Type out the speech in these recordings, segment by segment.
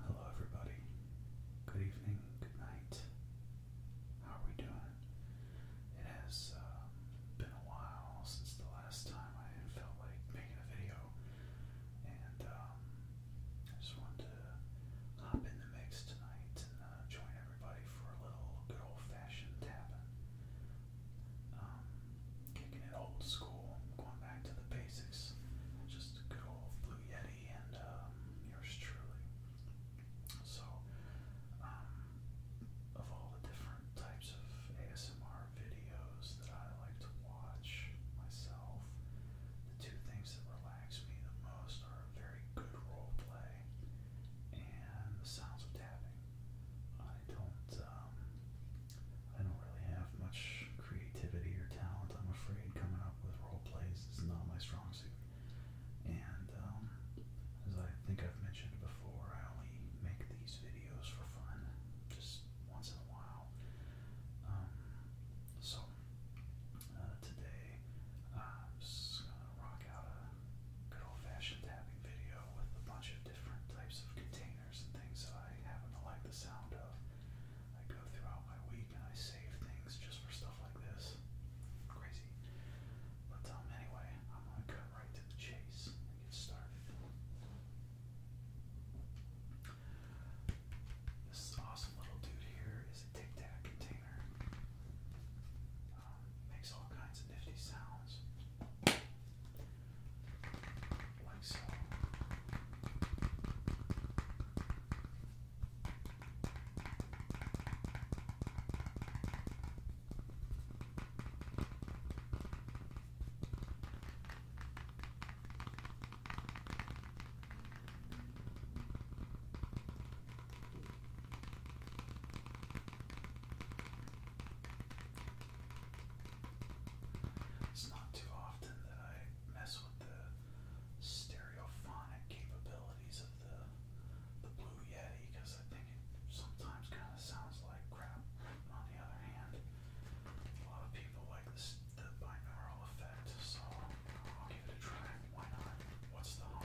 Hello, everybody. Good evening, good night. How are we doing? It has um, been a while since the last time I felt like making a video. And um, I just wanted to hop in the mix tonight and uh, join everybody for a little good old-fashioned tapping. Um, kicking it old school, going back to the basics. Just good old Blue Yeti and um, yours truly. So, of all the different types of ASMR videos that I like to watch myself. The two things that relax me the most are very good role play and the sounds of tapping. I don't, um, I don't really have much creativity or talent. I'm afraid coming up with role plays is not my strong suit. And um, as I think I've mentioned before, I only make these videos for fun, just once in a while. Um, so uh, today I'm just gonna rock out a good old-fashioned tapping video with a bunch of different types of containers and things that I happen to like the sound of. I go throughout my week and I save things just for stuff like this. Crazy. But um, anyway, I'm gonna cut right to the chase and get started. This awesome little dude here is a Tic Tac container. Um, makes all kinds of nifty sounds. Like so. It's not too often that I mess with the stereophonic capabilities of the the Blue Yeti because I think it sometimes kind of sounds like crap. on the other hand, a lot of people like this the binaural effect, so I'll give it a try. Why not? What's the harm?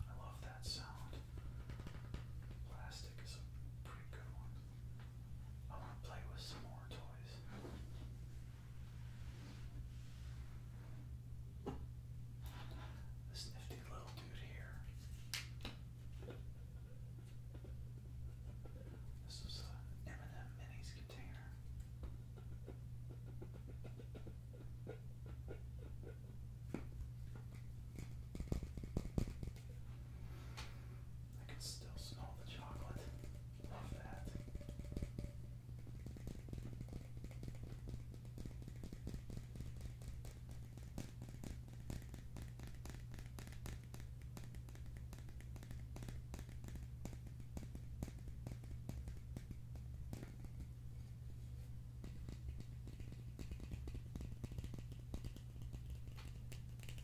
I love that sound. Plastic is a pretty good one. I want to play with some more toys. This nifty little dude here. This is an M&M Minis container. I can still smell the chocolate. Love that.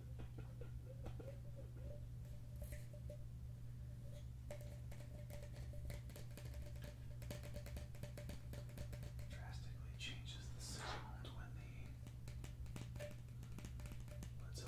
Drastically changes the sound when the lid's open. All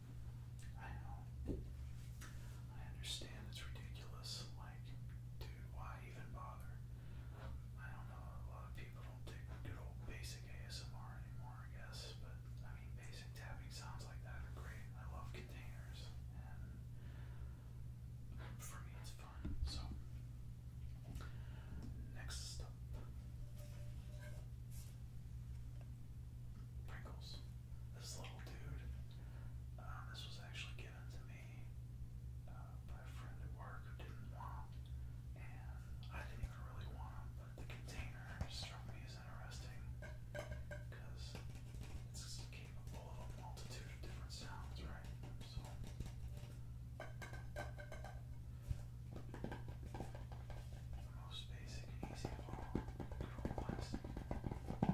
I know. I understand it's ridiculous. Like, dude, why even bother? I don't know. A lot of people don't take good old basic ASMR anymore, I guess. But, I mean, basic tapping sounds like that are great. I love containers. for me, it's fun. So, next Pringles. This little dude. Uh, this was actually given to me uh, by a friend at work who didn't want and I didn't even really want But the container struck me as interesting because it's capable of a multitude of different sounds, right? So. The most basic and easy of all chrome plastic. Now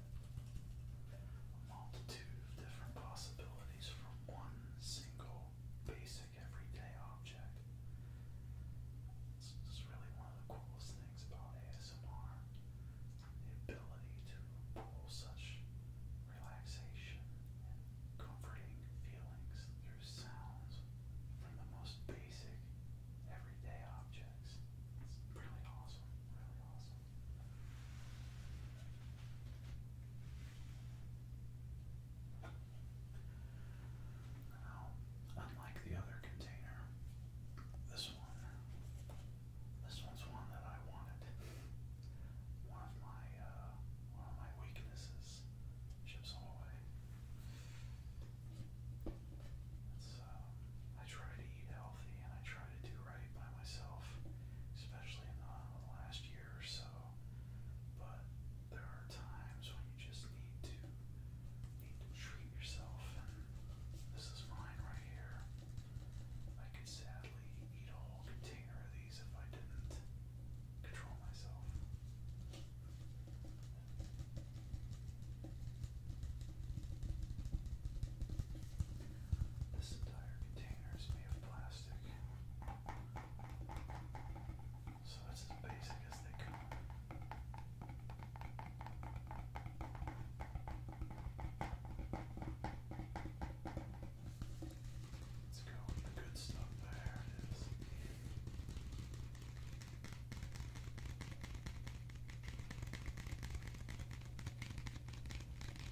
A multitude of different possibilities from one single basic everyday object. it's really one of the coolest things about ASMR. The ability to pull such relaxation and comforting feelings through sounds from the most basic everyday objects. It's really awesome, really awesome. Now, unlike the other container, this one, this one's one that I wanted. One of my, uh, one of my weaknesses. Ships away. It's, um, uh, I try to eat healthy and I try to do right by myself, especially in the last year or so. But there are times when you just need to need to treat yourself, and this is mine right here. I could sadly eat a whole container of these if I didn't control myself. This entire container is made of plastic. So that's as basic as they come. Let's go with the good stuff. There it is.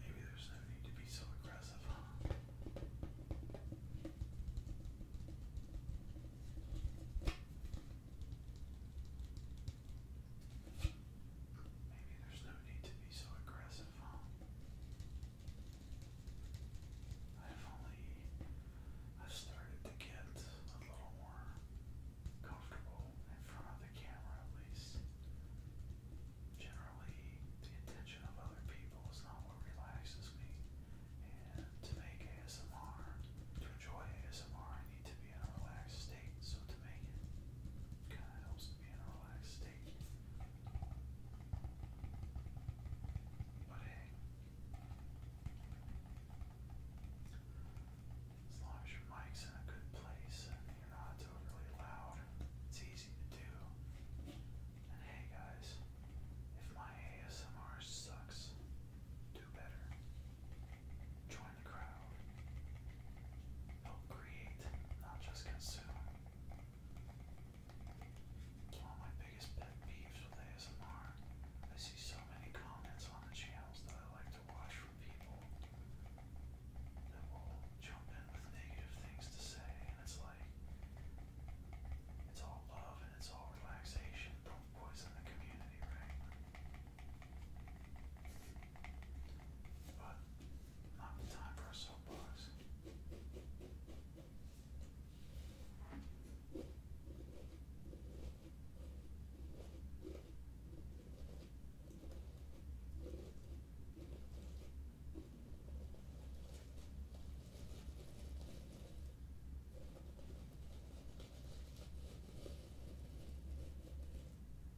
Maybe there's no need to be so aggressive. Maybe there's no need to be so aggressive. I've only I've started to get a little more comfortable in front of the camera at least. Generally the attention of other people is not what relaxes me. And to make ASMR, to enjoy ASMR I need to be in a relaxed state. So to make it kinda helps to be in a relaxed state as long as your mic's in a good place you're not overly loud, it's easy to do. And hey guys, if my ASMR sucks, do better. Join the crowd. Help create, not just consume. It's one of my biggest pet peeves with ASMR. I see so many comments on the channels that I like to watch from people that will jump in with negative things to say, and it's like, it's all love and it's all relaxation. Don't poison the community, right? But not the time for a soapbox.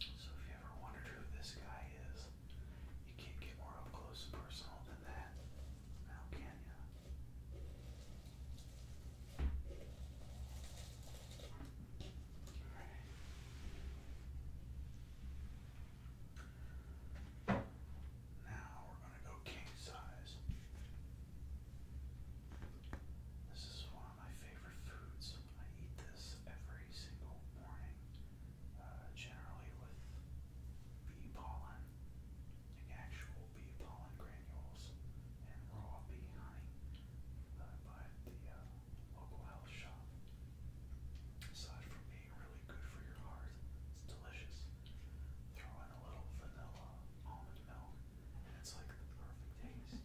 So if you ever wondered who this guy is, you can't get more up close and personal than that. Now can now we're going to go king size. This is one of my favorite foods. I eat this every single morning, generally with bee pollen, actual bee pollen granules, and raw bee honey that the uh, local health shop. Aside from being really good for your heart, it's delicious. Throw in a little vanilla almond milk, and it's like the perfect taste.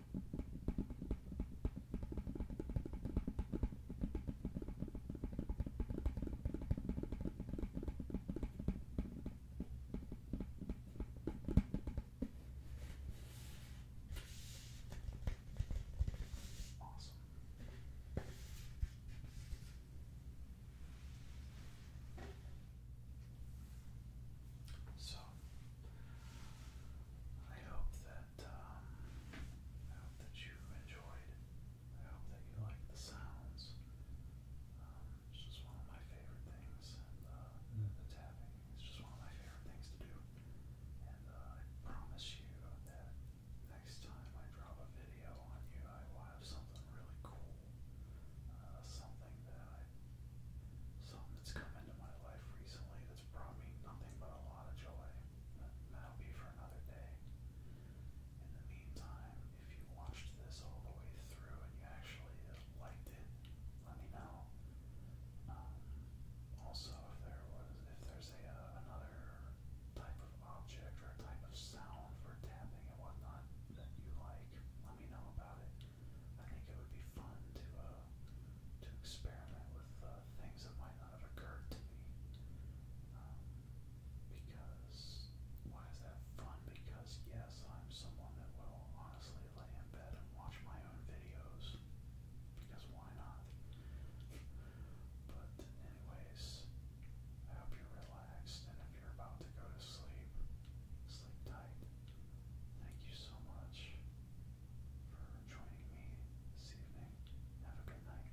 Awesome. So I hope that um, I hope that you enjoyed. I hope that you like the sounds. Um, it's just one of my favorite things, uh, mm. the tapping is just one of my favorite things to do. And uh, I promise you that next time I drop a video on you, I will have something really cool, uh, something that something that's come into my life recently that's brought me nothing but a lot of joy. that'll be for another day. In the meantime, if you watched this all the way through and you actually liked it, let me know. Um, also, if there was, if there's a uh, another type of object or type of sound for tapping and whatnot that you like, let me know about it. I think it would be fun to uh, to experiment with uh, things that might not have occurred to me. Um, because why is that fun? Because yes, I'm someone that will honestly lay in bed and watch my own videos. Because why not? But anyways, I hope you're relaxed, and if you're about to go to sleep, sleep tight. Thank you so much for joining me this evening. Have a good night.